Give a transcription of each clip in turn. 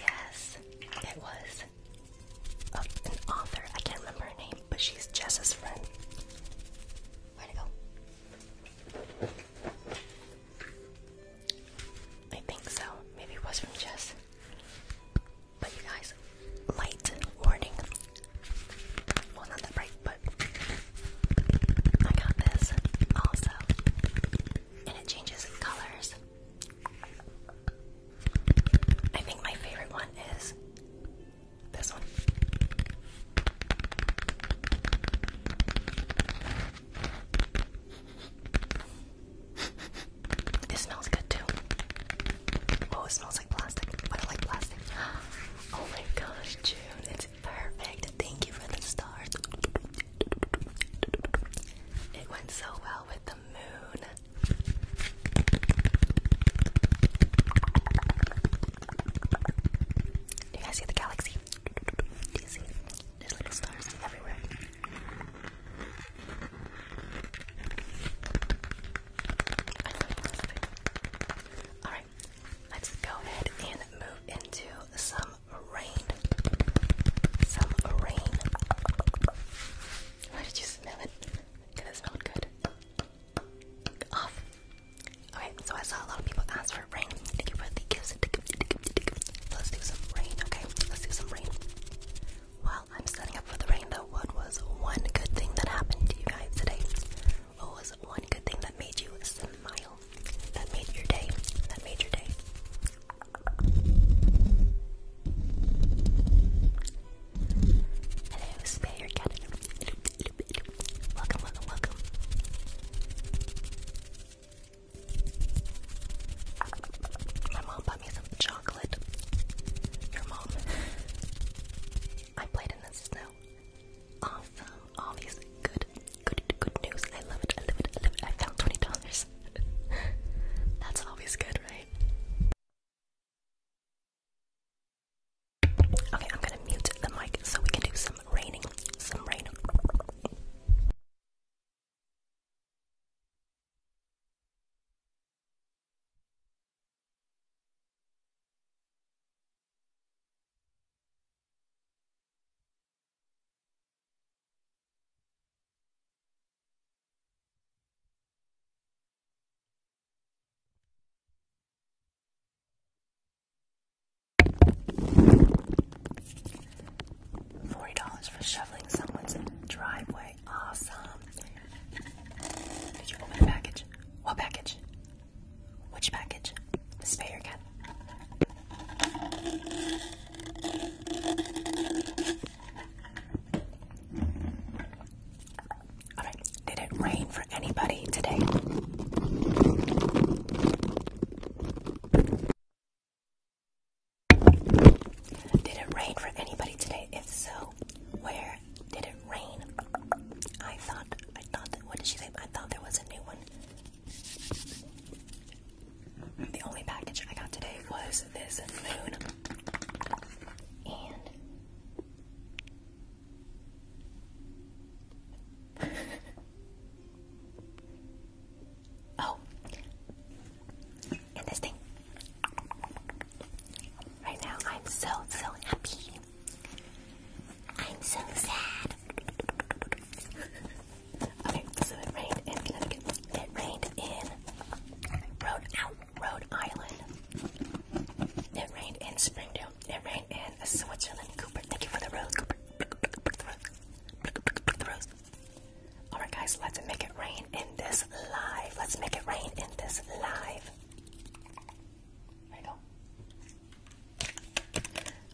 Yes, it was an author. I can't remember her name, but she's Jess's friend. Where'd go? I think so. Maybe it was from Jess. But you guys, light warning well, not that bright, but I got this also, and it changes colors. I think my favorite one is this one. it smells good too. Oh, it smells smells like plastic, but I like plastic. Oh my gosh, June, it's perfect. Thank you for the stars. It went so well with the moon. Do you guys see the galaxy? Do you see? There's little stars everywhere. All let's go ahead and move into some rain. Some rain. Why did you smell it? it smelled good. Off. Okay, so I saw a lot of people ask for rain. Let's do some rain, okay? Let's do some rain. While I'm setting up for the rain, though, what was one good thing that happened to you guys today? What was one good thing that made you smile? That made your day. That made your day. Hello, Spare Canada. Welcome, welcome, welcome. My mom bought me some chocolate. Your mom. I played in the snow awesome. All these good, good, good news. I love it. I love it. I found twenty dollars. That's always good, right? Okay, I'm gonna mute the mic so we can do some raining. Some rain. Forty dollars for shoveling someone's driveway. Awesome. Did you open a package? What package? Which package? Spay your cat. All right. Did it rain for anybody today? Did it rain for anybody today? If so, where did it rain. I thought, I thought what did she say? I thought there was a new one. The only package I got today was this moon. And. oh. And this thing. Right now, I'm so, so happy. I'm so sad. okay, so it rained It rained in Rhode, out, Rhode Island. It rained in Springdale. It rained in Switzerland. Cooper, thank you for the rose. Alright, guys, let's make it rain in this live. Let's make it rain in this live. There you go.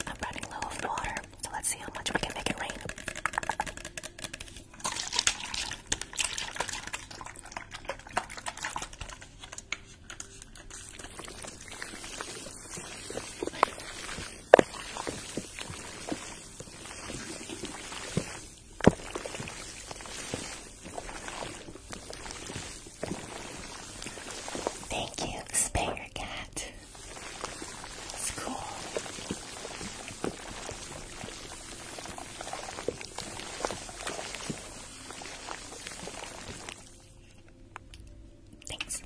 I'm running low on water, so let's see how much we can make it rain. Thank you, Spanger Cat. It's cool. Thanks.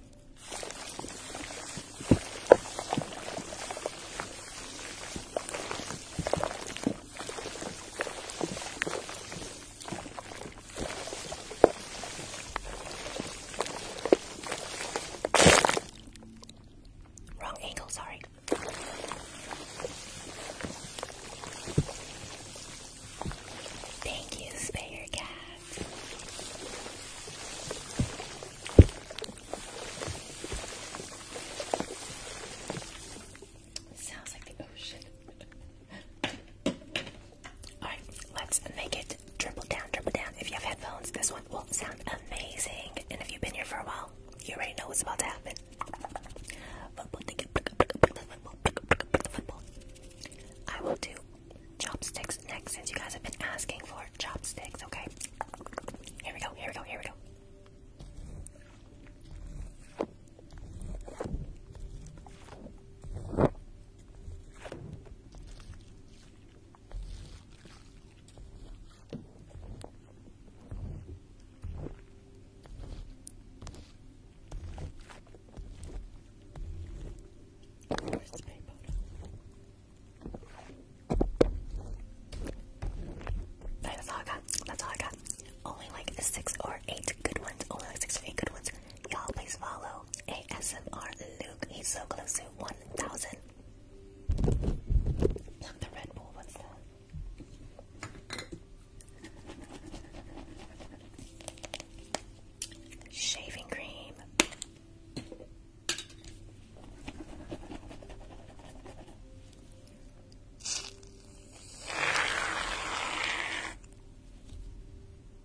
Wrong angle, sorry. Thank you, Spare Cat. Sounds like the ocean. Alright, let's make it triple down, triple down. If you have headphones, this one will sound amazing. And if you've been here for a while, you already know what's about to happen. I will do chopsticks next since you guys have been asking for chopsticks, okay? Here we go, here we go, here we go. That's all I got. That's all I got. Only like six or eight good ones. Only like six or eight good ones. Y'all please follow ASMR Luke. He's so close to 1,000. Shaving cream.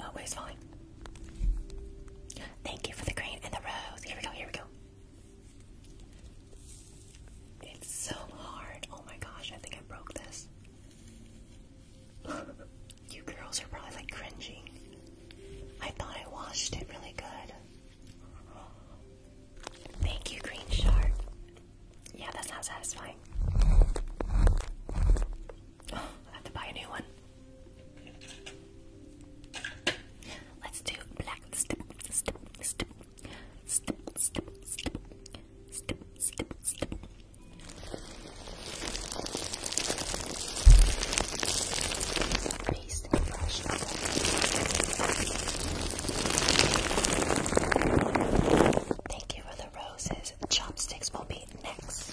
Oh, it's falling. Thank you for the green and the rose. Here we go, here we go. It's so hard. Oh my gosh, I think I broke this. you girls are probably like cringing. I thought I washed it really good. Thank you, Green Shark. Yeah, that sounds satisfying. I have to buy a new one. Let's do black Thank you for the roses. Chopsticks will be next.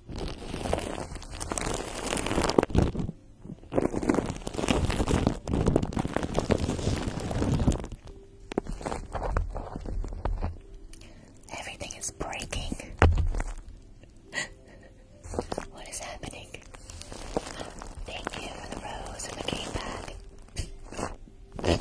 Everything is breaking. what is happening? Thank you for the rose and the game bag.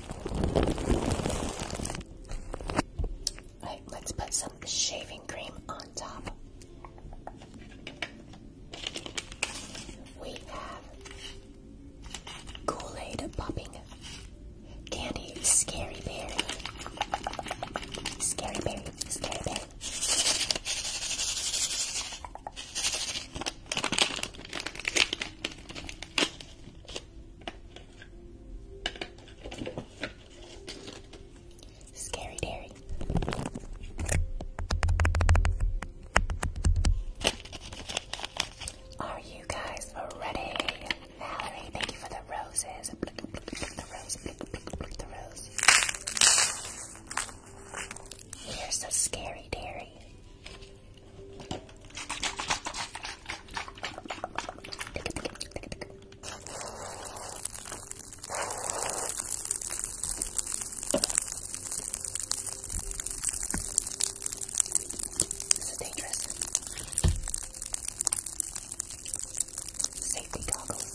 let's put some shaving cream on top. We have Kool-Aid popping, candy, scary berry, scary berry, scary berry. Scary Dairy. Are you guys ready? Valerie, thank you for the roses. The the scary dairy. This is dangerous. Safety goggles.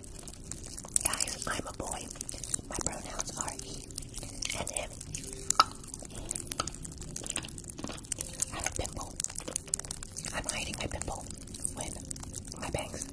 Guys, I'm a boy. My pronouns are he and him. I have a pimple. I'm hiding my pimple with my bangs.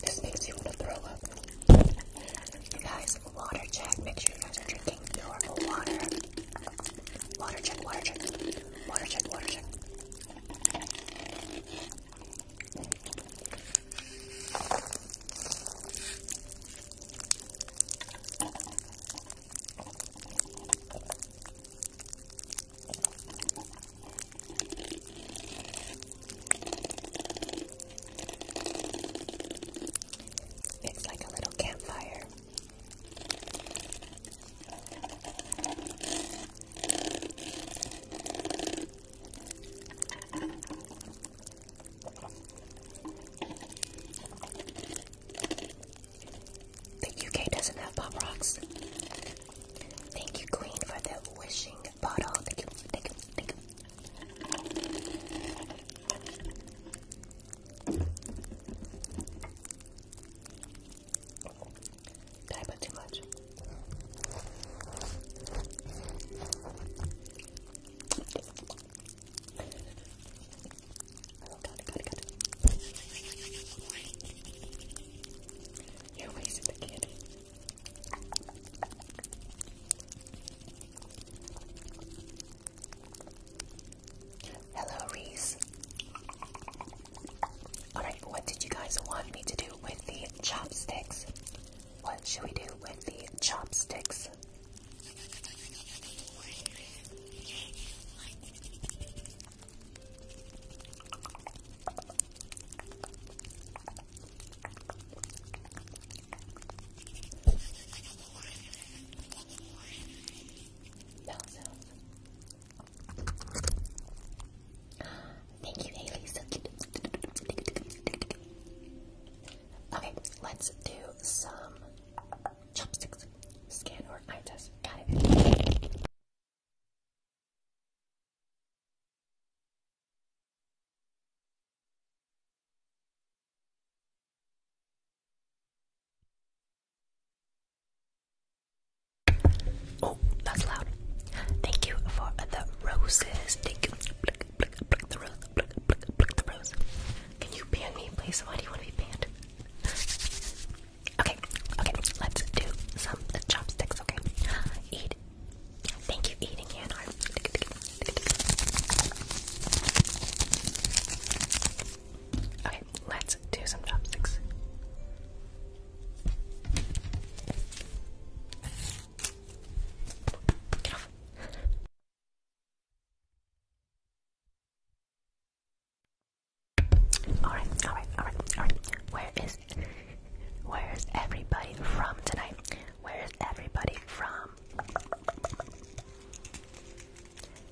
This makes you want to throw up. You guys, water check. Make sure you guys are drinking your water. Water check, water check. Water check, water check. It's like a little campfire. The UK doesn't have pop rocks. Thank you, Queen, for the wishing bottle. Thank you, Did I put too much? You're wasting the candy. Hello, Reese. Alright, what did you guys want me to do with the chopsticks? What should we do with the chopsticks? Bell sounds. Thank you, Haley. So cute. Okay, let's do some chopsticks, scan or eye test. Oh, that's loud. Thank you for the roses. Thank you. Pluck, the rose. Can you ban me, please? Why do you want to be banned? Okay, okay, let's do some chopsticks, okay? Eat. Thank you, eating Hannah. Okay, let's do some chopsticks. Get off. Alright, alright, alright, alright. Where is where is everybody from tonight? Where is everybody from?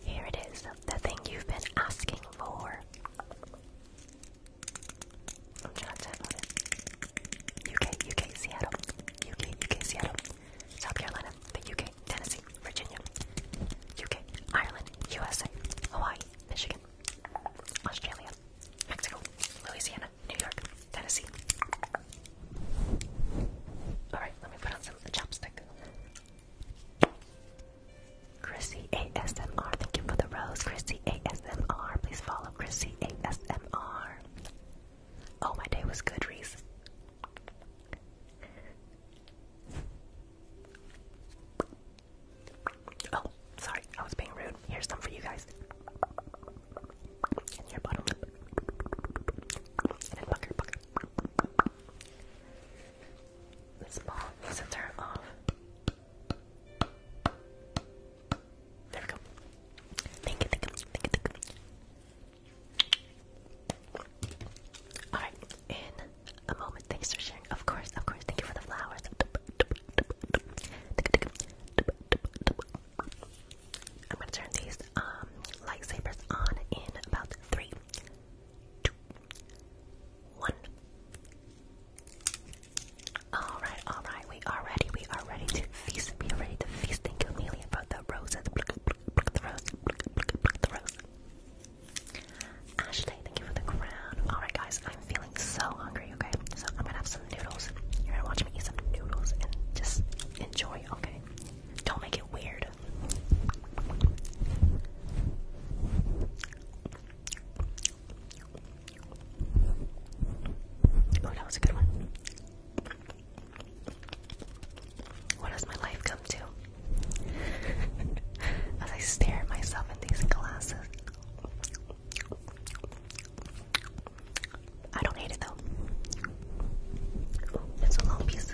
Here it is, the thing you've been asking for. UK, UK, Seattle, UK, UK, Seattle, South Carolina, the UK, Tennessee. Virginia, UK, Ireland, USA, Hawaii, Michigan, Australia, Mexico, Louisiana, New York, Tennessee. Alright, let me put on some chopstick. Chrissy ASMR, thank you for the rose. Chrissy ASMR, please follow Chrissy ASMR. Oh, my day was good, Reese. Oh, sorry, I was being rude. Here's some for you guys. And your bottom lip. And then pucker, pucker. The small center off. There we go. Thank you, thank you, thank you, thank you. Alright, in a moment. Thanks for sharing. Of course, of course. Thank you for the flowers. I'm gonna turn these um lightsabers on in about three, two, one. All right, all right. We are ready. We are ready to feast. We are ready to feast. Thank you, Amelia, for the roses. the rose. the rose. Ashley, thank you for the crown. Alright, guys, I'm feeling so hungry, okay? So I'm gonna have some noodles. You're gonna watch me eat some noodles and just enjoy, okay? Don't make it weird. Oh, that was a good one. What has my life come to? As I stare at myself in these glasses. I don't hate it though. It's a long piece.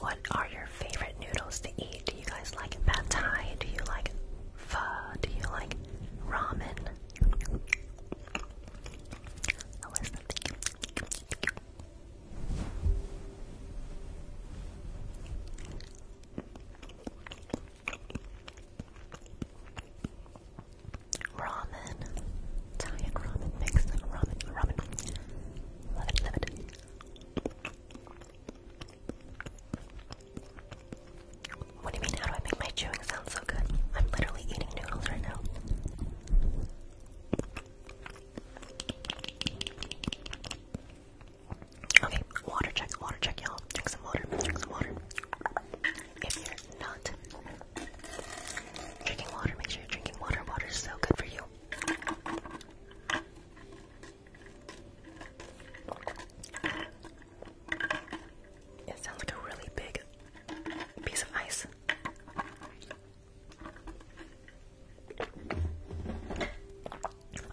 What are your favorite noodles to eat? Do you guys like pad thai? Do you like pho? Do you like ramen? Ramen, Italian ramen, Mexican ramen, ramen. Love it, love it. What do you mean? How do I make my chewing sounds? so good. I'm literally eating noodles right now. Okay, water check, water check, y'all. Drink some water, drink some water. If you're not drinking water, make sure you're drinking water. Water is so good for you. It sounds like a really big piece of ice.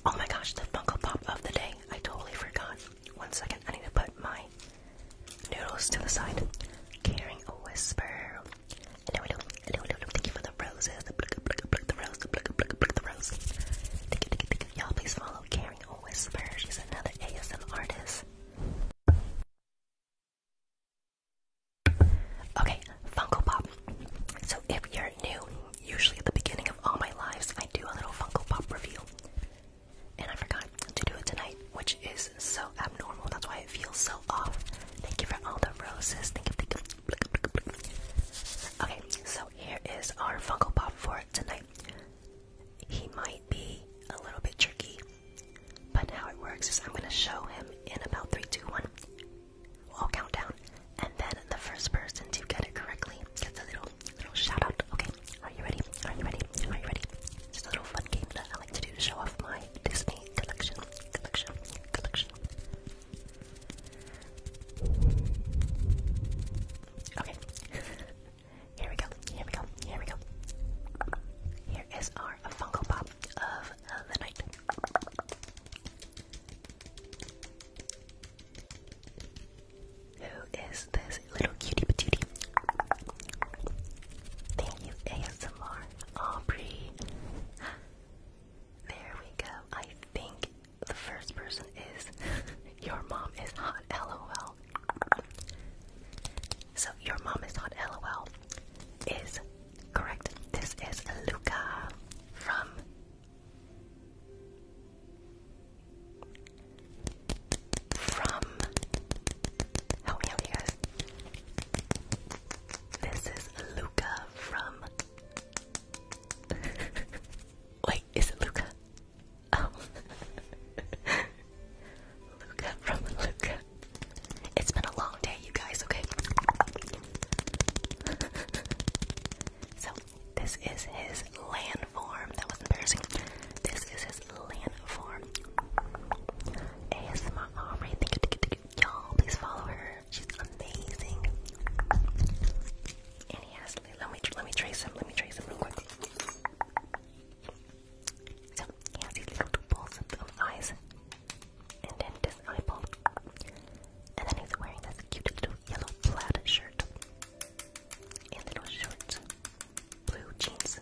Oh my gosh, the Funko Pop of the day. I totally forgot. One second, I need to put my noodles to the side. Carrying a whisper. Hello, hello, hello, hello. Thank you for the roses. The blick, the rose, the blick, Thank you, thank you, thank you. Y'all please follow Carrying a Whisper. She's another ASM artist. Okay, Funko Pop. So if you're new, usually at the beginning of all my lives, I do a little Funko Pop review. And I forgot to do it tonight, which is so abnormal. That's why it feels so off. Thank you for all the roses. Thank you, Okay, so here is our Funko Pop for tonight. He might be a little bit tricky but how it works is I'm going to show him in about three, two, one, 2, one And then the first person to get it correctly gets a little, little shout out. Okay, are you ready? Are you ready? Are you ready? Just a little fun game that I like to do to show off my Disney collection. Collection. Collection. Okay. Here we go. Here we go. Here we go. Here is our Funko Pop of the night. Who is this little cutie patootie? Thank you, ASMR Aubrey. There we go. I think the first person is your mom is hot. LOL. So your mom is not LOL is correct. This is Luca from from help me out you guys. This is Luca from Wait, is it Luca? Oh Luca from Luca it's been a long day, you guys, okay? so, this is his landform. That was embarrassing. This is his landform. ASMR Y'all, please follow her. She's amazing. And he has, let me, let me trace him, let me trace him real quick. So he little two balls eyes, and then this eyeball, and then he's wearing this cute little yellow plaid shirt, and little shorts, blue jeans,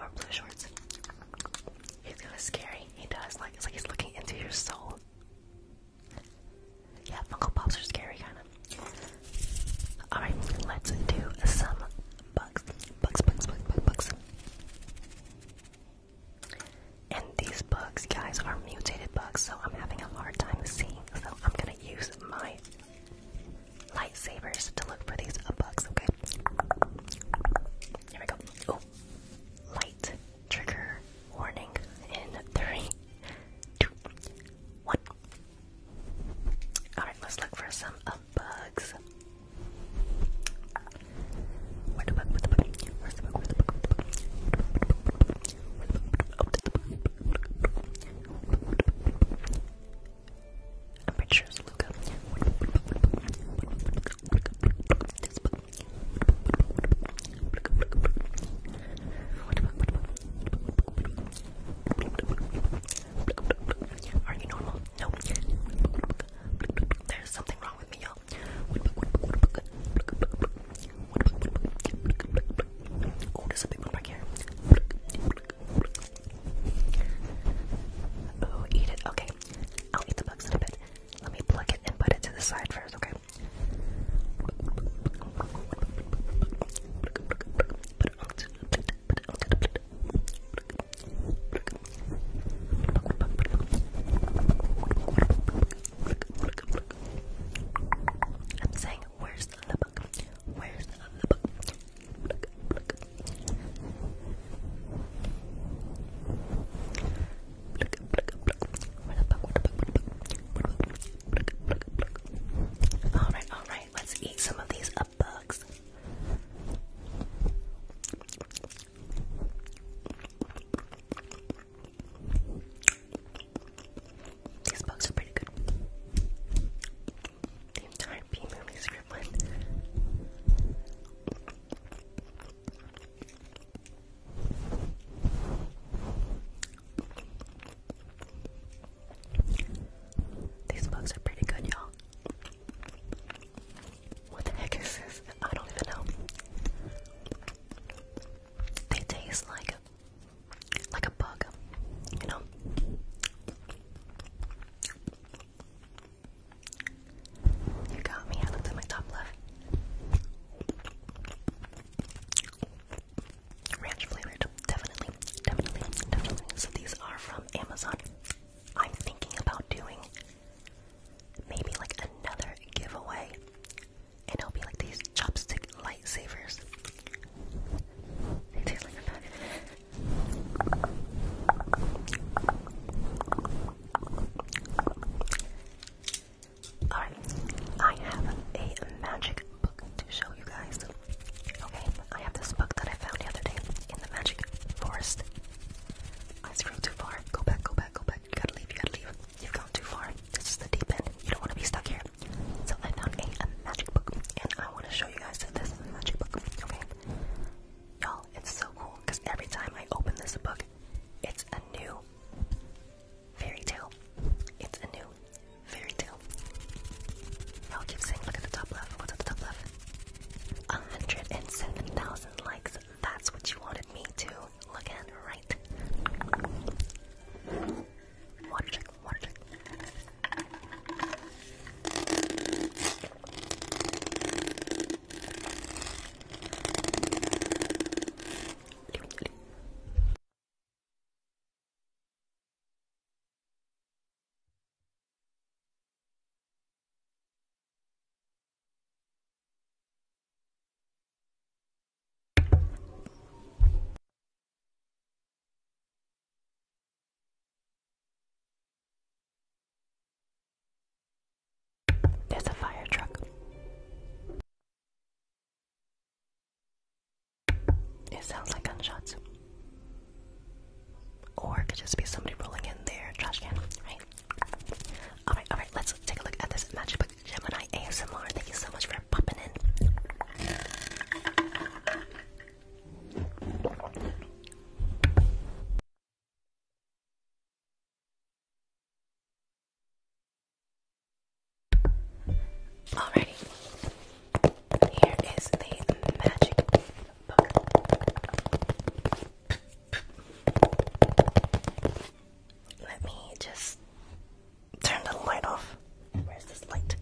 or blue shorts. He's kind of scary. He does like it's like he's looking into your soul. Yeah, Funko Pops are scary, kind of. Alright, let's do some bugs, bugs, bugs, bugs, bugs, bugs. And these bugs, guys, are mutated bugs, so I'm having a hard time seeing. So I'm gonna use my lightsabers to look for these bugs, okay? Here we go. Oh, light trigger warning in three, two, one. Alright, let's look for some uh, bugs. Where the bug? Where the bug? Where's the bug? Where's the bug? Where's the bug? I'm pretty sure it's Luca. This bug. Are you normal? No. There's something wrong with me, y'all. Oh, there's a big one here. Oh, eat it. Okay. I'll eat the bugs in a bit. Let me plug it and put it to the side first, okay? I'm saying, where's the book? Where's the book? Alright, alright, let's eat some of these up bugs. These bugs are pretty good. The entire B movie script one. These bugs are pretty good, y'all. What the heck is this? I don't even know. They taste like like a bug, you know. You got me. I looked my top left. Ranch flavored, definitely, definitely, definitely. So these are from Amazon. I'm thinking about doing maybe like another giveaway, and it'll be like these chopstick lightsabers. They taste like a Alright, I have a magic book to show you guys. Okay, I have this book that I found the in the magic forest. I scrolled too far. Go back, go back, go back. You gotta leave, you gotta leave. You've gone too far. This is the deep end. You don't want to be stuck here. So I found a, magic book, and I want to show you guys this magic book. Okay, y'all, it's so cool because every time I open this book, it's a new fairy tale. It's a new fairy tale. Y'all keep saying, look at the top left. What's at the top left? 107,000 likes. That's what you wanted me to look at, right? There's a fire truck. It sounds like gunshots. Or could just be somebody rolling in their trash can, right? Alright, alright, let's take a look at this magic book, Gemini ASMR. Thank you so much for popping in. Alrighty, here is the magic book. Let me just turn the light off. Where's this light?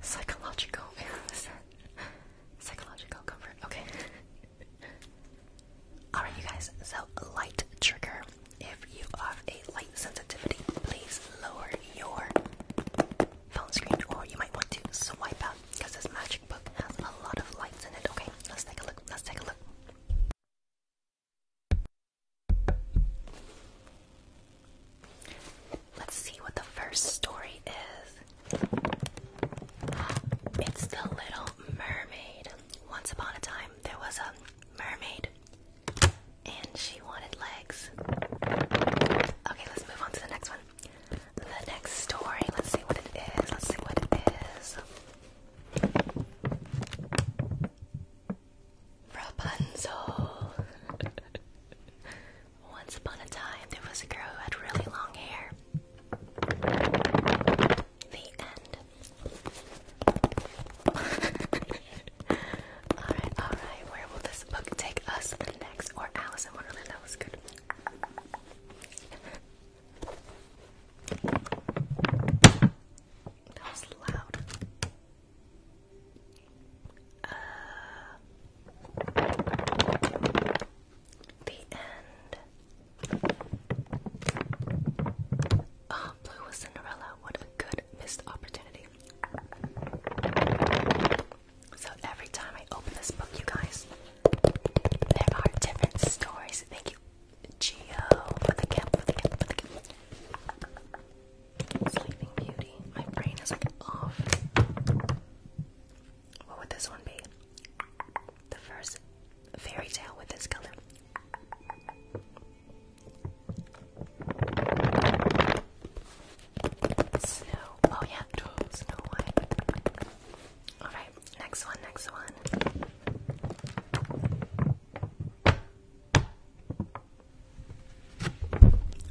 Psychological. Psychological comfort. Okay. Alright, you guys. So, light trigger. If you have a light sensitivity, please lower your phone screen, or you might want to swipe out because this magic book has a lot of lights in it. Okay, let's take a look. Let's take a look. Let's see what the first story is. It's The Little Mermaid. Once upon a time, there was a mermaid and she wanted legs. Okay, let's move on to the next one the next story. Let's see what it is. Let's see what it is. Rapunzel. Once upon a time, there was a girl who had really long hair. The end. alright, alright. Where will this book take us next? Or Alice in Wonderland? That was good. That was loud. Uh, the end. Oh, Blue was Cinderella. What a good missed opportunity. So every time I open this book, you guys, there are different stories. Thank you, Geo, Sleeping Beauty. My brain is like off. What would this one be? The first fairy tale with this color. Snow. Oh yeah, Snow White. All right, next one, next one.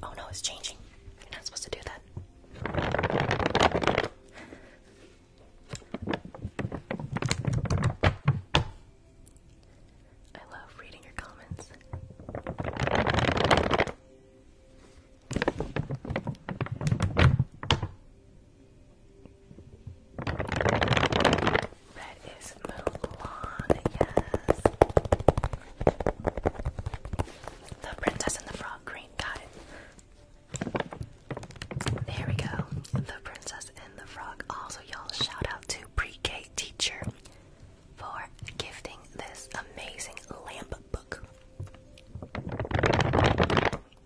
Oh no, it's changing. You're not supposed to do that. I love reading your comments. That is little yes. The princess and the frog green, got There we go. The princess and the frog. Also, y'all, shout out to pre-K teacher for gifting this amazing lamp book.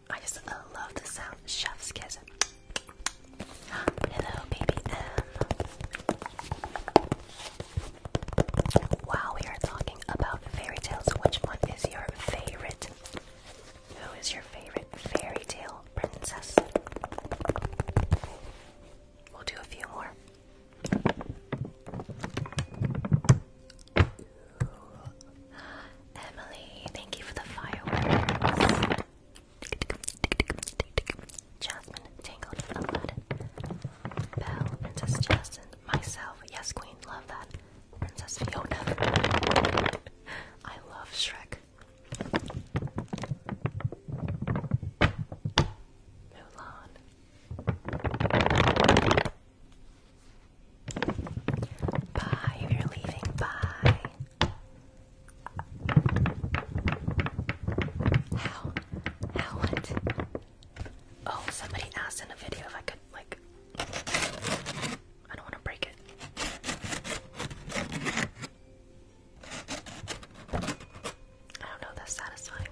I just love the sound. Chef's kiss. Hello, baby M. Wow, we are talking about fairy tales. Which one is your favorite? Who is your favorite fairy tale princess? We'll do a few more. Emily, thank you for the fireworks. Jasmine, Tangled, Aladdin. Belle, Princess Jasmine, myself, yes queen, love that. Princess Fiona. I love Shrek. Mulan. Bye, you're leaving, bye. How? How what? Oh, somebody asked in a video if I could, like, I don't want to break it. I don't know, that's satisfying.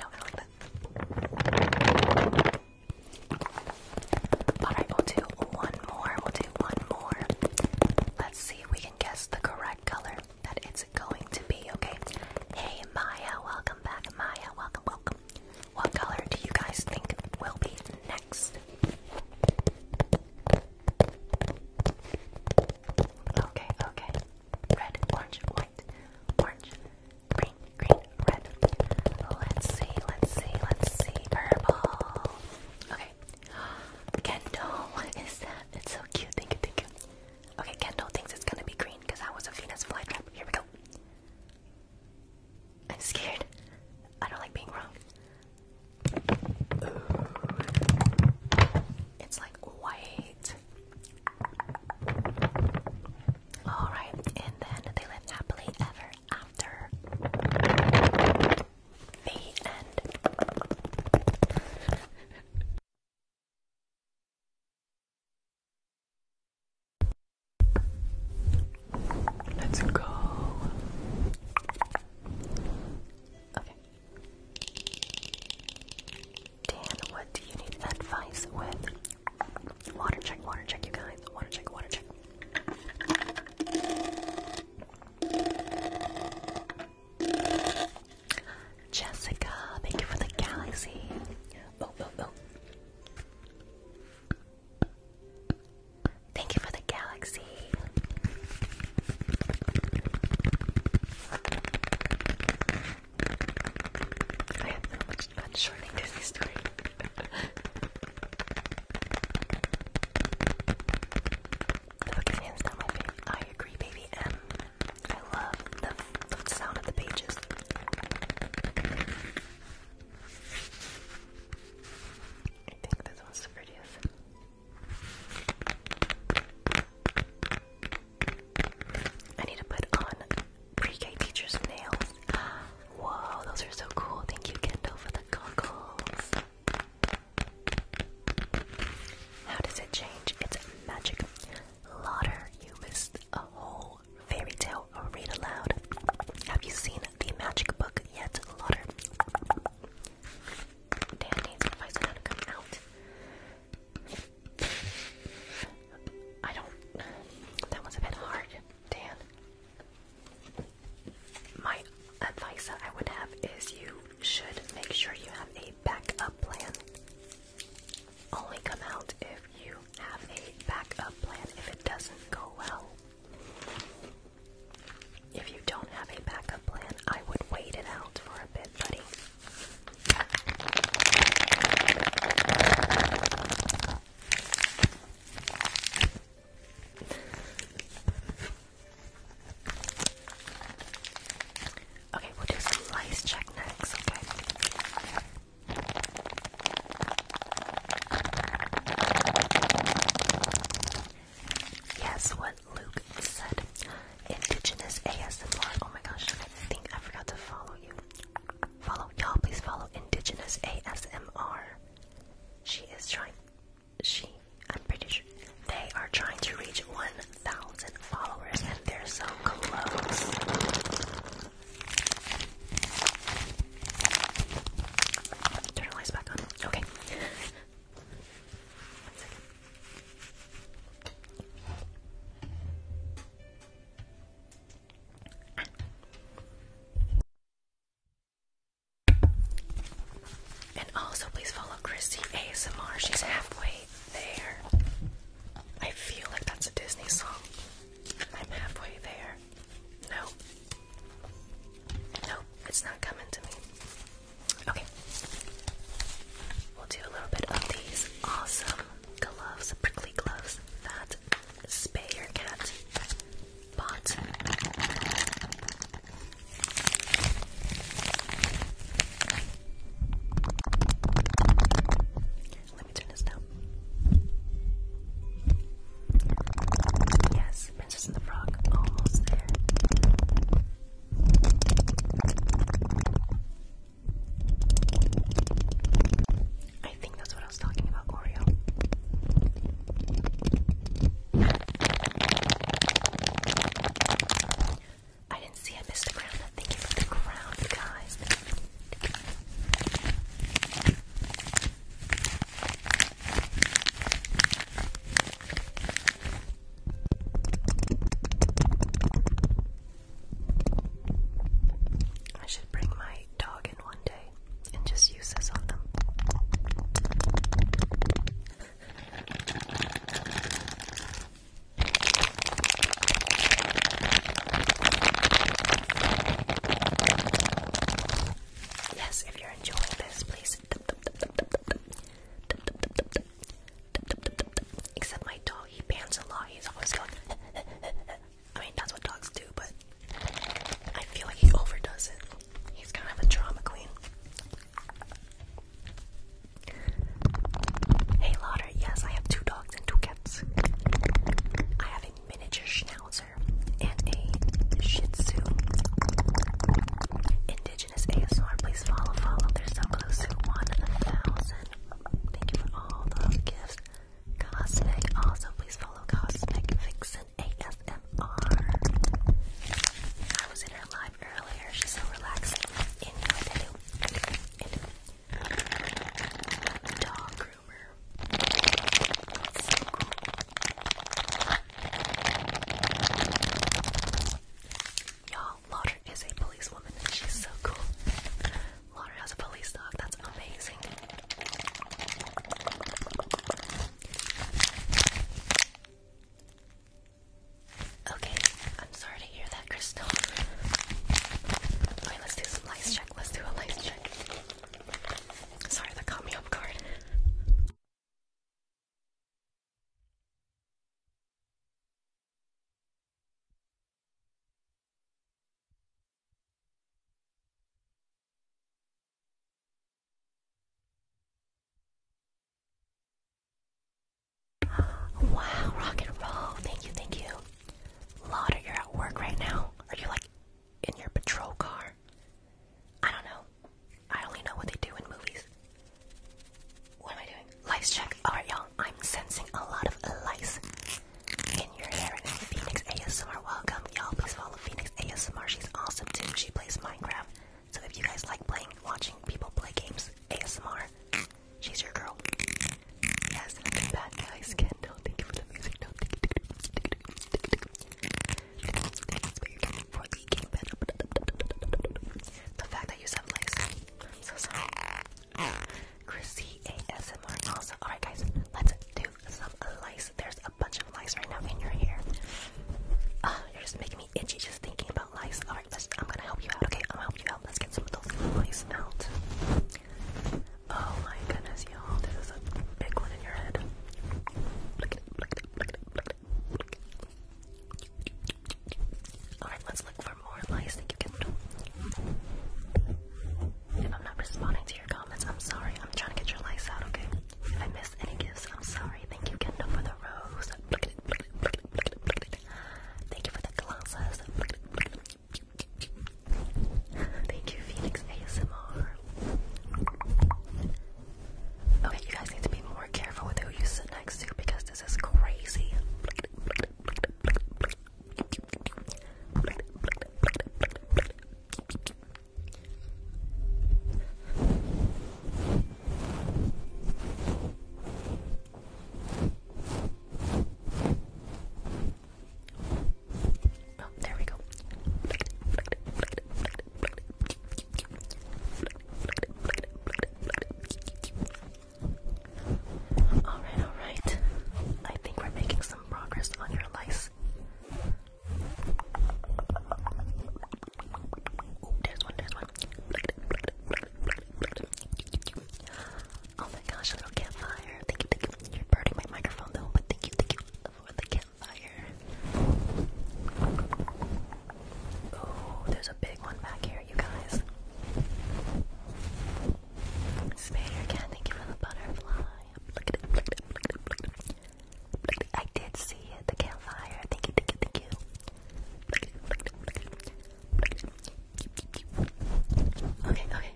No, I like that. Alright, we'll do one more. We'll do one more. Let's see if we can guess the correct color that it's going to be, okay? Hey, Maya, welcome back. Maya, welcome, welcome. What color do you guys think will be next? Okay, okay red, orange, white, orange, green, green, red. Let's see, let's see, let's see. Purple. Okay. Kendall, what is that? It's so cute. Thank you, thank you. Okay, Kendall thinks it's gonna be green because I was a Venus flytrap. Here we go. I'm scared. I don't like being wrong. It's like white. Alright, and then they lived happily ever after. The end. Let's go. Okay. Dan, what do you need advice with? Water check, water check, you guys. Water check, water check. Jessica, thank you for the galaxy. Oh, oh, oh. Thank you for the galaxy. I had so much fun shortening Disney story. Books hands down my favorite. I agree, baby M. I love the sound of the pages. I think this one's the prettiest. I need to put on pre-K teacher's nails. Whoa, those are so cool. Thank you, Kendall, for the goggles. How does it change? It's magic. Lauder, you missed a whole fairy tale read aloud. Have you seen the magic book yet, Lauder? Dan needs advice on to come out. I don't. That was a bit hard, Dan. My advice that I would have is you should make sure you have a backup plan. Only come out if you have a backup plan if it doesn't go well. If you don't have a backup plan, I would wait it out for a bit, buddy. Okay, we'll do some check next, okay? Yes, what Luke said. Indigenous ASMR. Oh my gosh, I think I forgot to follow you. Follow y'all, please follow Indigenous ASMR. She is trying. She, I'm pretty sure they are trying to reach 1,000 followers, and they're so close. Turn the lights back on. Okay. And also, please follow Christy ASMR. She's halfway there. I feel like that's a Disney song. I'm halfway there. No. No, it's not coming to me. Okay. We'll do a little bit of these awesome gloves, prickly gloves that spay your cat bought. Let me turn this down. Yes, Princess and the Frog, almost there. I think that's what I was talking about, Oreo. I didn't see I missed the ground. Thank you for the ground, guys. I should bring my dog in one day and just use this on them. Yes, if you're enjoying this, please. Except my dog, he pants a lot. He's always going. I mean, that's what dogs do, but I feel like he overdoes it. He's kind of a drama queen. Hey, Lauder, yes, I have two dogs and two cats. I have a miniature schnauzer and a shih tzu. Indigenous ASR, please follow, follow. They're so close 1,000. Thank you for all the gifts. Cosmic. Also, please follow Cosmic Vixen ASMR. I was in her live earlier. She's so relaxing. And you dog groomer. Y'all, Lauder is a policewoman. She's so cool has a Police dog. That's amazing. Okay, I'm sorry to hear that, Crystal. let's do some lice check. Let's do a lice check. Sorry, that caught me off guard. Wow, rock and roll. Thank you, thank you. Lauder, you're at work right now. Are you like in your patrol car? I don't know. I only know what they do in movies. What am I doing? Lice check. Alright, y'all. I'm sensing a lot of lice in your hair. And Phoenix ASMR, welcome. Y'all please follow Phoenix ASMR. She's awesome too. She plays Minecraft. So if you guys like playing, watching people play games, ASMR, she's your girl. Yes, bad guys. Ken, thank you for the music. thank you. for the game The fact that you said legs. so sorry. Chrissy ASMR also. Alright guys, let's do some lice. There's a bunch of lice right now in your hair. Uh, you're just making me itchy just thinking about lice. Alright, I'm gonna help you out, okay? I'm gonna help you out. Let's get some of those lice out. Oh my goodness, y'all. This is a big one in your head. Alright, let's look for are you can If I'm not responding to your comments, I'm sorry. I'm trying to get your likes out, okay? If I miss any gifts, I'm sorry. Thank you, Kendall, for the rose. Thank you for the glasses. Thank you, Phoenix ASMR. Okay, you guys need to be more careful with who you sit next to because this is crazy. Oh, there we go. Alright, alright. I think we're making some progress on your lice. Oh, there's one, there's one. Oh my gosh, a little campfire. Thank you, thank you. You're burning my microphone though, but thank you, thank you for the campfire. Oh, there's a big one back here, you guys. Spider can thank you for the butterfly. I did see it, the campfire. Thank you, thank you, thank you. Okay, okay.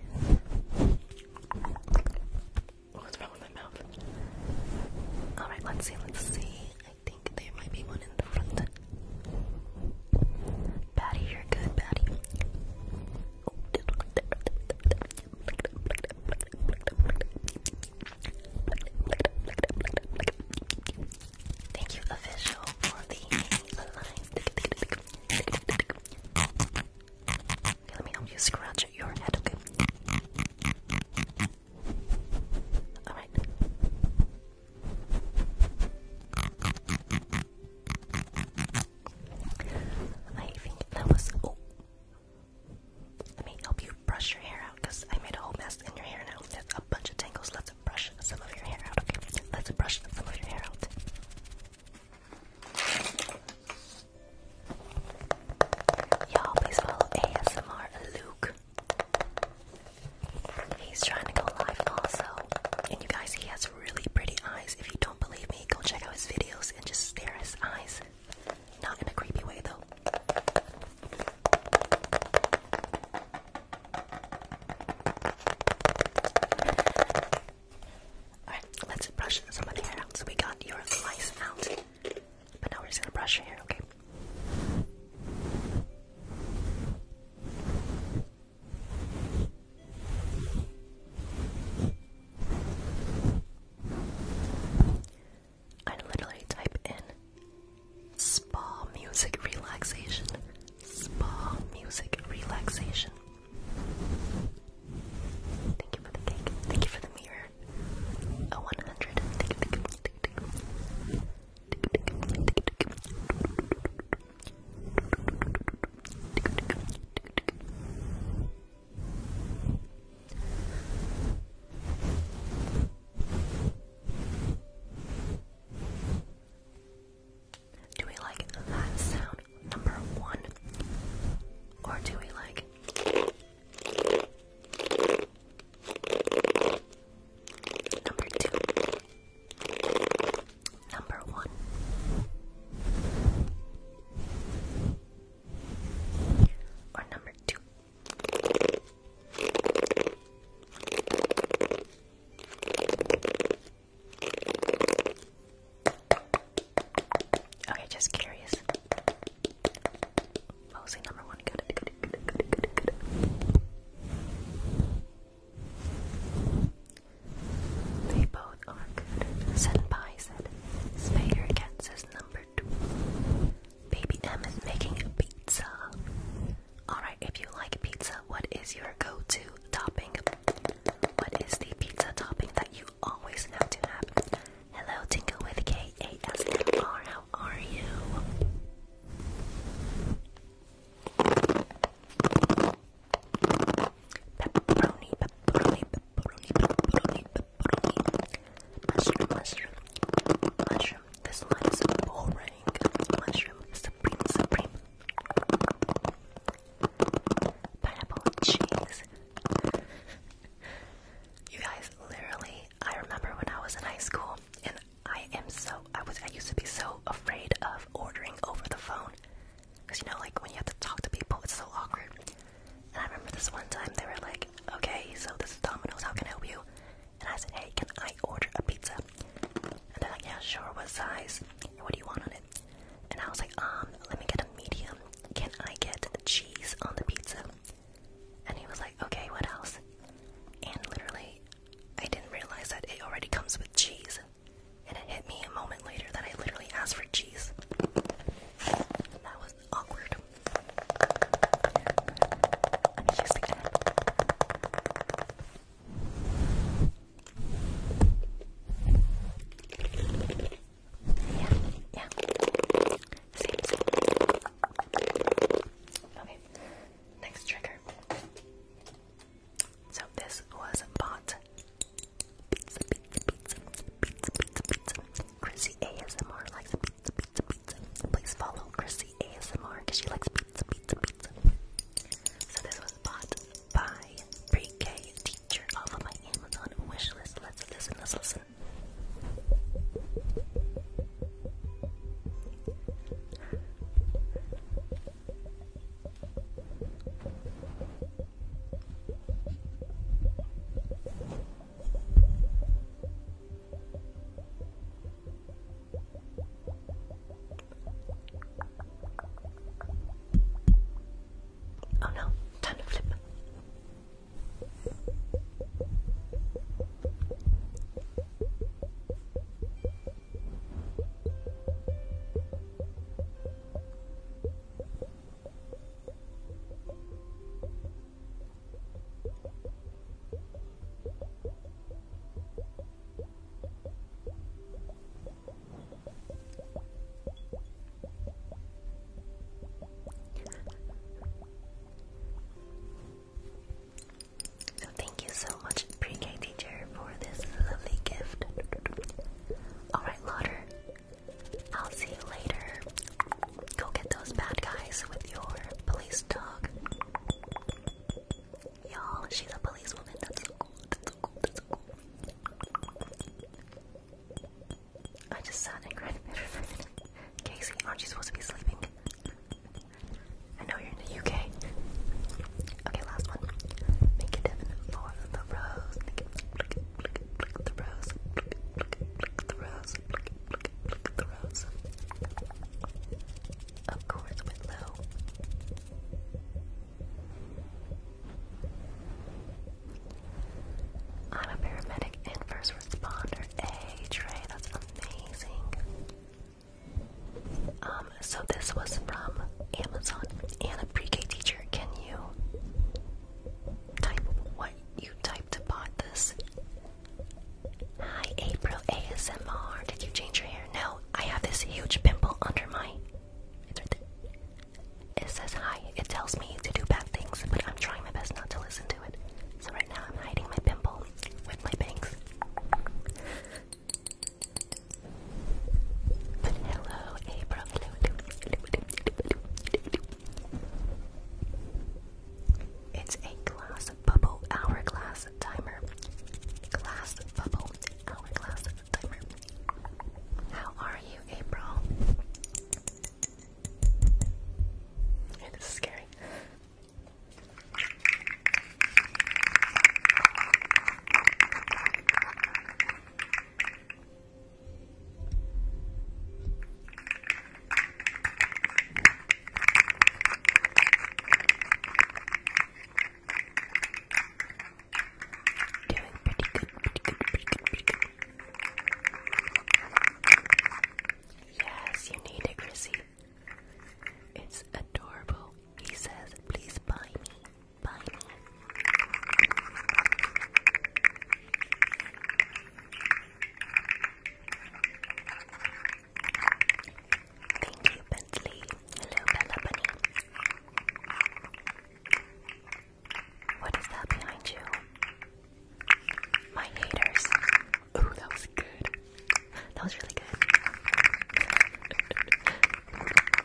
Oh, what's wrong with my mouth? Alright, let's see, let's see. I think there might be one in the front. Patty, you're good, Patty. Thank you, official, for the alive. let me help you scratch your head, okay? Alright. I think that was. Oh. Let me help you brush your hair out because I made a whole mess in your hair now. There's a bunch of tangles. Let's brush some of your hair out, okay? Let's brush some of your hair out. Y'all, please follow ASMR Luke. He's trying to go live also. And you guys, he has really pretty eyes. If you don't believe me, go check out his videos and just stare at his eyes. Not in a creepy way, though. Alright, let's brush some of the hair out. So we got your lice out. But now we're just gonna brush your hair, okay? I literally type in spa music relaxation, spa music relaxation. Thank you for the cake, thank you for the mirror. A 100. Do we like that sound number one? Or do we like number two? Number one. Or number two. Okay, just curious. What number one? They both are good. Senpai said. Spader gets his number two. Baby M is making a pizza. Alright, if you like pizza, what is your go-to topping? What is the pizza topping that you always have to have? Hello, Tinkle with K-A-S-M-R. How are you? pepperoni, pepperoni, pepperoni, pepperoni, pepperoni, mushroom, mushroom, mushroom. This line is boring. Mushroom, supreme, supreme. Pineapple cheese. you guys, literally, I remember when I was in high school, and I am so I was I used to be so afraid of ordering over the phone. Because you know, like when you have to talk to people, it's so awkward. And I remember this one time they were like, okay, so this is Domino's, how can I help you? And I said, hey, can I order a pizza? And they're like, yeah, sure, what size? What do you want on it? And I was like, um, let me get a medium. Can I get cheese on the pizza? And he was like, okay, what else? And literally, I didn't realize that it already comes with cheese and it hit me a moment later that I literally asked for cheese. That was awkward. Yeah, yeah. Same, same. Okay, next trigger. So this was bought Pizza, pizza, pizza, pizza, pizza, pizza. Chrissy ASMR likes pizza, pizza, pizza. Please follow Chrissy ASMR because she likes pizza, pizza, pizza. So this was bought by pre-K teacher off of my Amazon wish list. Let's listen, let's listen. Oh no, time to flip. So thank you so much, pre-K teacher, for this lovely gift. Alright, Lauder, I'll see you later. Go get those bad guys with your police dog. Y'all, she's a policewoman. That's cool. That's cool. That's cool. I just sat and Casey, aren't you supposed to be sleeping? I know you're in the UK. Okay, last one. Make it Devin for the rose. Pluck, pluck the rose. Pluck, pluck, the rose. Pluck, pluck, the rose. I'm a paramedic and first responder. Hey, Trey, that's amazing. Um, so this was from Amazon and a pre-K teacher can you type what you typed about this? Hi, April ASMR. Did you change your hair? No, I have this huge pimple under my. It says hi. It tells me to do bad things, but I'm trying my best not to listen to it. So right now I'm hiding my pimple with my bangs hello, April. It's a glass bubble hourglass timer. Glass bubble hourglass timer. How are you, April? this is scary. Yes, you need it, Chrissy. It's adorable. He says, please buy me. Bye Thank you, Bentley. Hello, Bella Bunny. What is that behind you? My haters. Ooh, that was good. That was really good.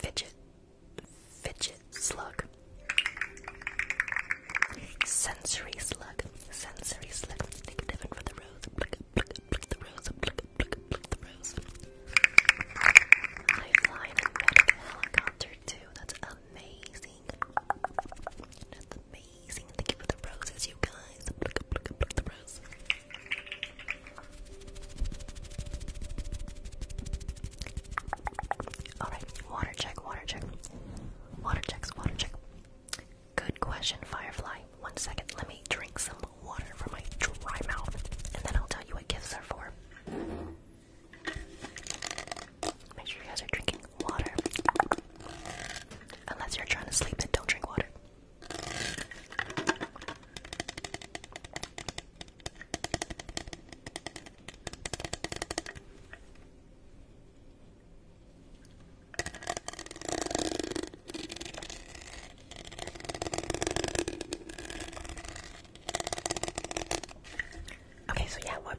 fidget fidget slug sensory slug sensory slug take a for the rose pluck, pluck, pluck the rose I fly in that's amazing that's amazing thank you for the roses you guys eyebrows. Alright, water check, water check. Water checks, water check. Good question, Firefly. One second, let me drink some water from my dry mouth, and then I'll tell you what gifts are for. Make sure you guys are drinking water. Unless you're trying to sleep, then don't drink water. Okay, so yeah, what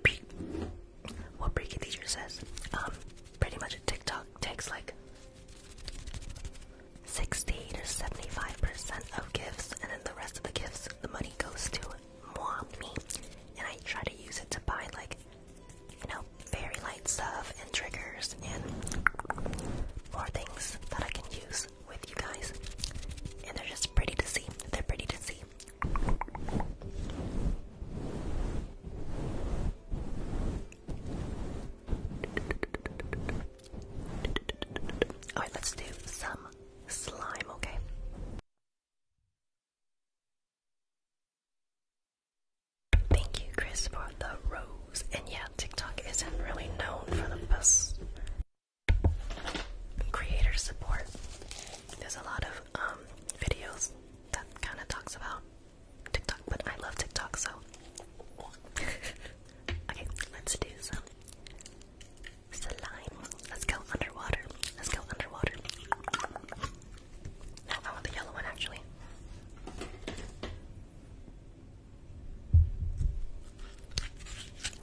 what pre teacher says, um, pretty much a TikTok takes like 60 to 75% of gifts, and then the rest of the gifts, the money goes to moi, me, and I try to use it to buy, like, you know, very light stuff and triggers and more things that I can use with you guys. And they're just pretty to see. They're pretty to see. Alright, let's do some slime, okay? Thank you, Chris, for the rose. And yeah, TikTok isn't really known for the best creator support. There's a lot of um, videos that kind of talks about TikTok, but I love TikTok, so Okay, let's do some slime. Let's go underwater. Let's go underwater. No, I want the yellow one actually.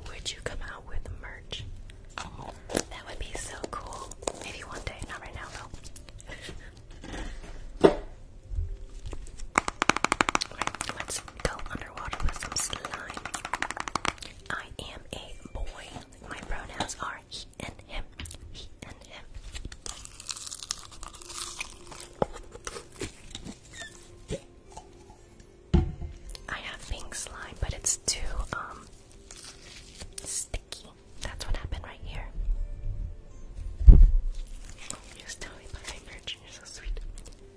Would you come out with merch? that would be so cool. Maybe one day, not right now though. let's go underwater with some slime. I am a boy. My pronouns are he and him. He and him. I have pink slime, but it's too um sticky. That's what happened right here. just tell me my virgin, you're so sweet.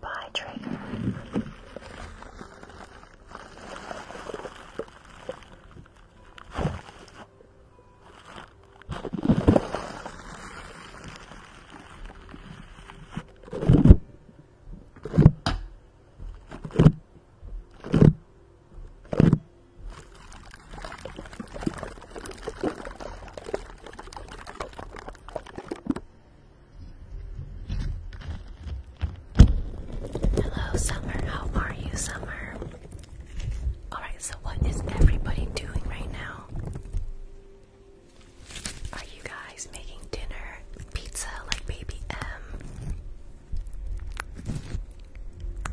Bye, Trigger. Hello, Summer. How are you, Summer? Alright, so what is everybody doing right now? Are you guys making dinner, pizza like Baby M?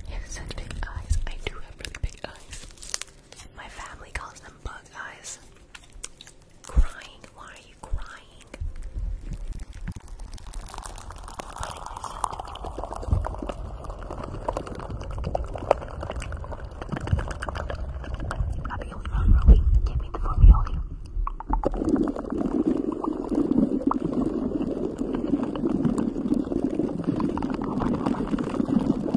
Yes, such big eyes. I do have really big eyes. My family calls them bug eyes. Crying. Why are you crying? Give me the formula.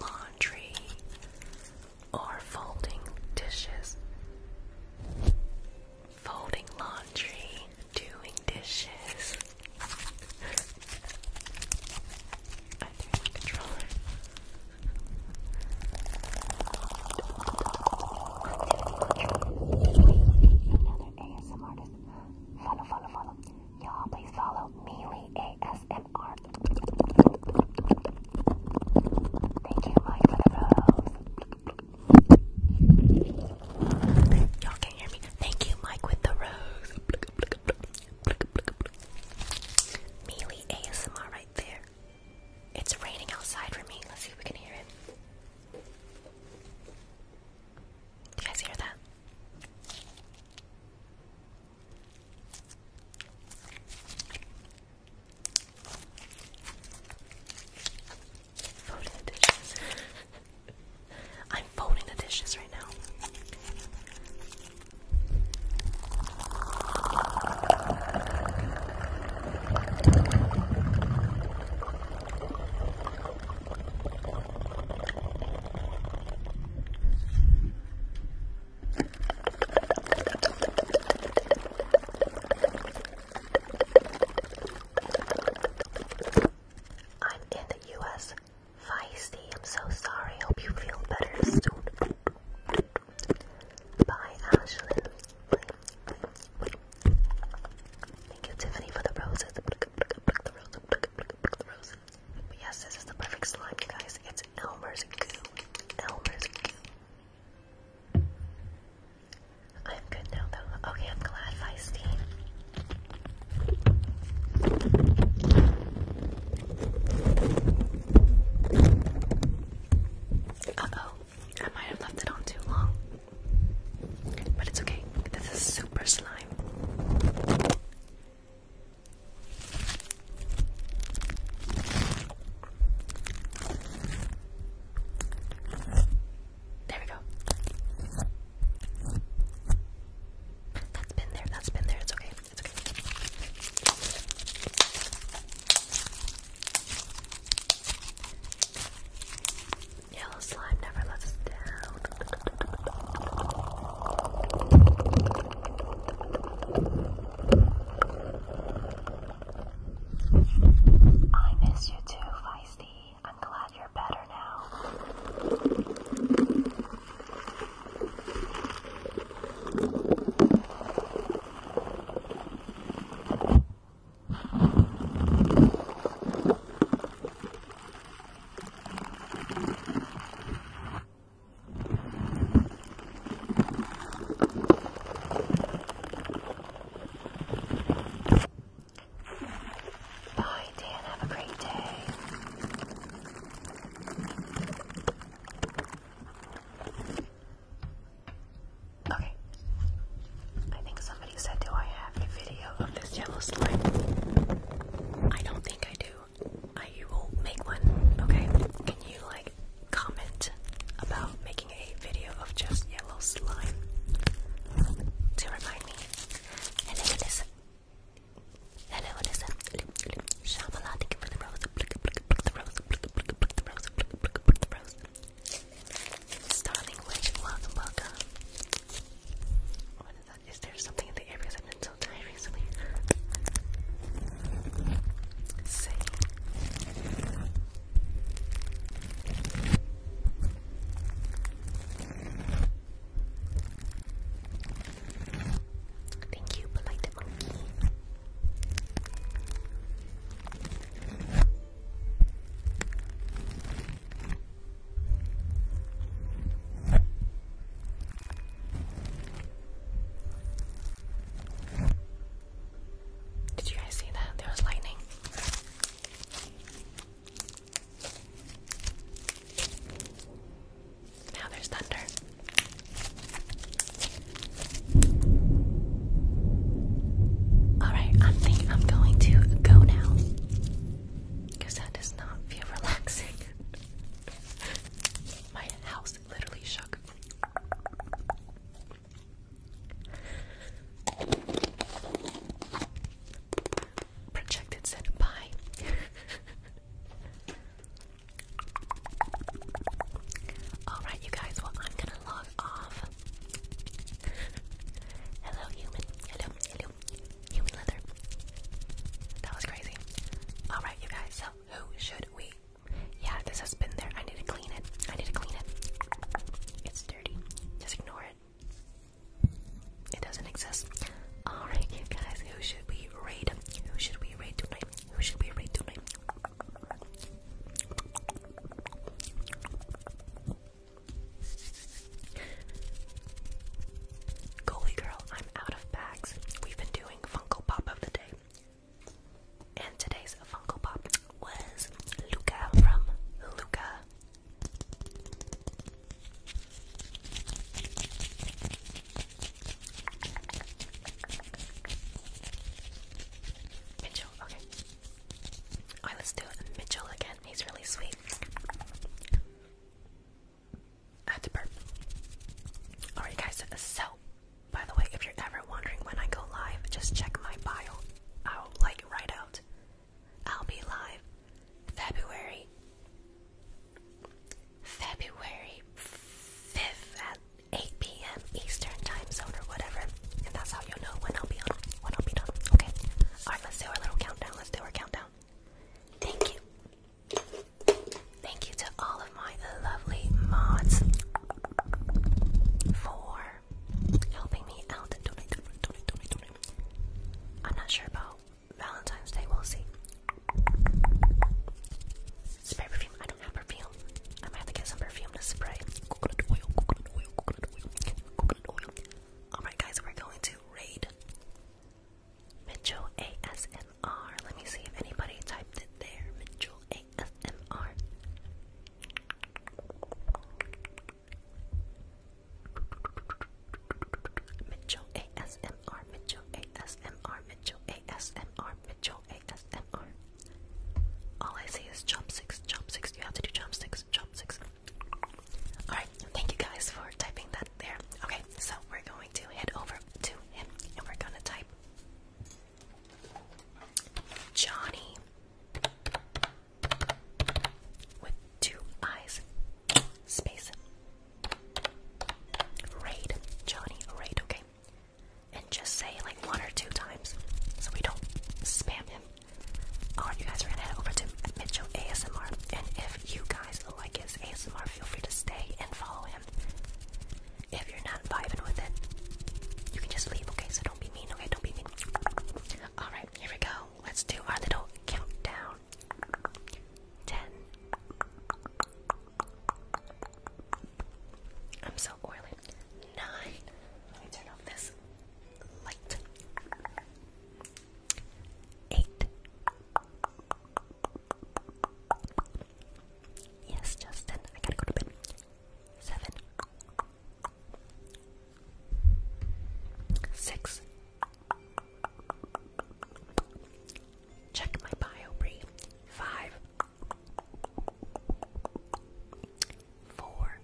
laundry or folding dishes. Folding laundry, doing dishes. Another ASMR artist. Follow, follow, follow. Y'all, please follow Mealy ASMR. Thank you, Mike, for the rose. Y'all can't hear me. Thank you, Mike, with the rose. Mealy ASMR right there. It's raining outside for me. Let's see if we can hear it. Do you guys hear that? I'm folding the dishes right now. I'm in the US. Feisty, I'm so sorry. Hope you feel better soon. Bye, Ashlyn. Thank you, Tiffany, for the roses yes, this is the perfect slime, you guys. It's Elmer's goo. Elmer's goo. I'm good now, though. Okay, I'm glad, Feisty. Uh-oh. I might have left it on too long. But it's okay. This is super slime. There we go. That's been there, that's been there, it's okay, it's okay. Yellow slime never lets down. I miss you too, Feisty. I'm glad you're better now. Bye, Dan. Have a great day. Okay. I think somebody said, Do I have a video of this yellow slime? I don't think I do. I will make one, okay? Can you like comment about making a video of just yellow slime to remind me? Hello, what is Hello, what is it? thank you for the rose. Pluck the rose, pluck the rose, the rose, the rose. Starling Witch, welcome, welcome. Is there something in the area that I've been so tired recently? Thank you, polite monkey. Did you guys see that? There was lightning. Now there's thunder. Alright, I'm thinking I'm going to go now. Because that does not feel relaxing. My house literally shook. Projected said Alright, you guys, well, I'm gonna log off. hello, human. hello. Human leather. That was crazy. Alright, you guys, so who should we? Yeah, this has been there. I need to clean it. I need to clean it. It's dirty. Just ignore it. It doesn't exist. Alright, you guys, who should we raid? Who should we raid tonight? Who should we raid tonight? Goalie girl, I'm out of bags. We've been doing doing Funko Pop of the day. And today's Funko Pop was Luca from Luca. Mitchell, okay. Alright, let's do Mitchell again. He's really sweet. I had to Alright, guys, so by the way, if you're ever wondering when I go live, just check my bio. I'll like it right out. I'll be live February. February 5th at 8 p.m. Eastern time zone or whatever. And that's how you'll know when I'll be on when I'll be done. Okay. Alright, let's do our little countdown. Let's do our countdown. Thank you. Thank you to all of my lovely mods for helping me out donate, donate, donate, donate, donate. I'm not sure about Valentine's Day, we'll see. Spray perfume, I don't have perfume. I might have to get some perfume to spray. Alright guys, we're going to raid Mitchell ASMR. Let me see if anybody typed it there. Mitchell ASMR. Mitchell ASMR. Mitchell ASMR. Mitchell ASMR. Mitchell ASMR. All I see is chopsticks. Chopsticks. You have to do chopsticks. Chopsticks. Alright, thank you guys for typing that there. Okay, so we're going to head over to him and we're gonna type Johnny with two eyes, space, raid, Johnny, raid, okay? And just say like one or two times so we don't spam him. Alright, you guys are gonna head over to Mitchell ASMR, and if you guys like his ASMR, feel free to stay and follow him. If you're not vibing with it, you can just leave, okay? So don't be mean, okay? Don't be mean. Alright, here we go. Let's do our little countdown. 10. I'm so oily. 9. Let me turn off this light. 8. Yes, Justin, I gotta go to bed. Seven. Six. Check my bio, Bree. Five. Four.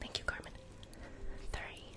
Thank you, Carmen. Three.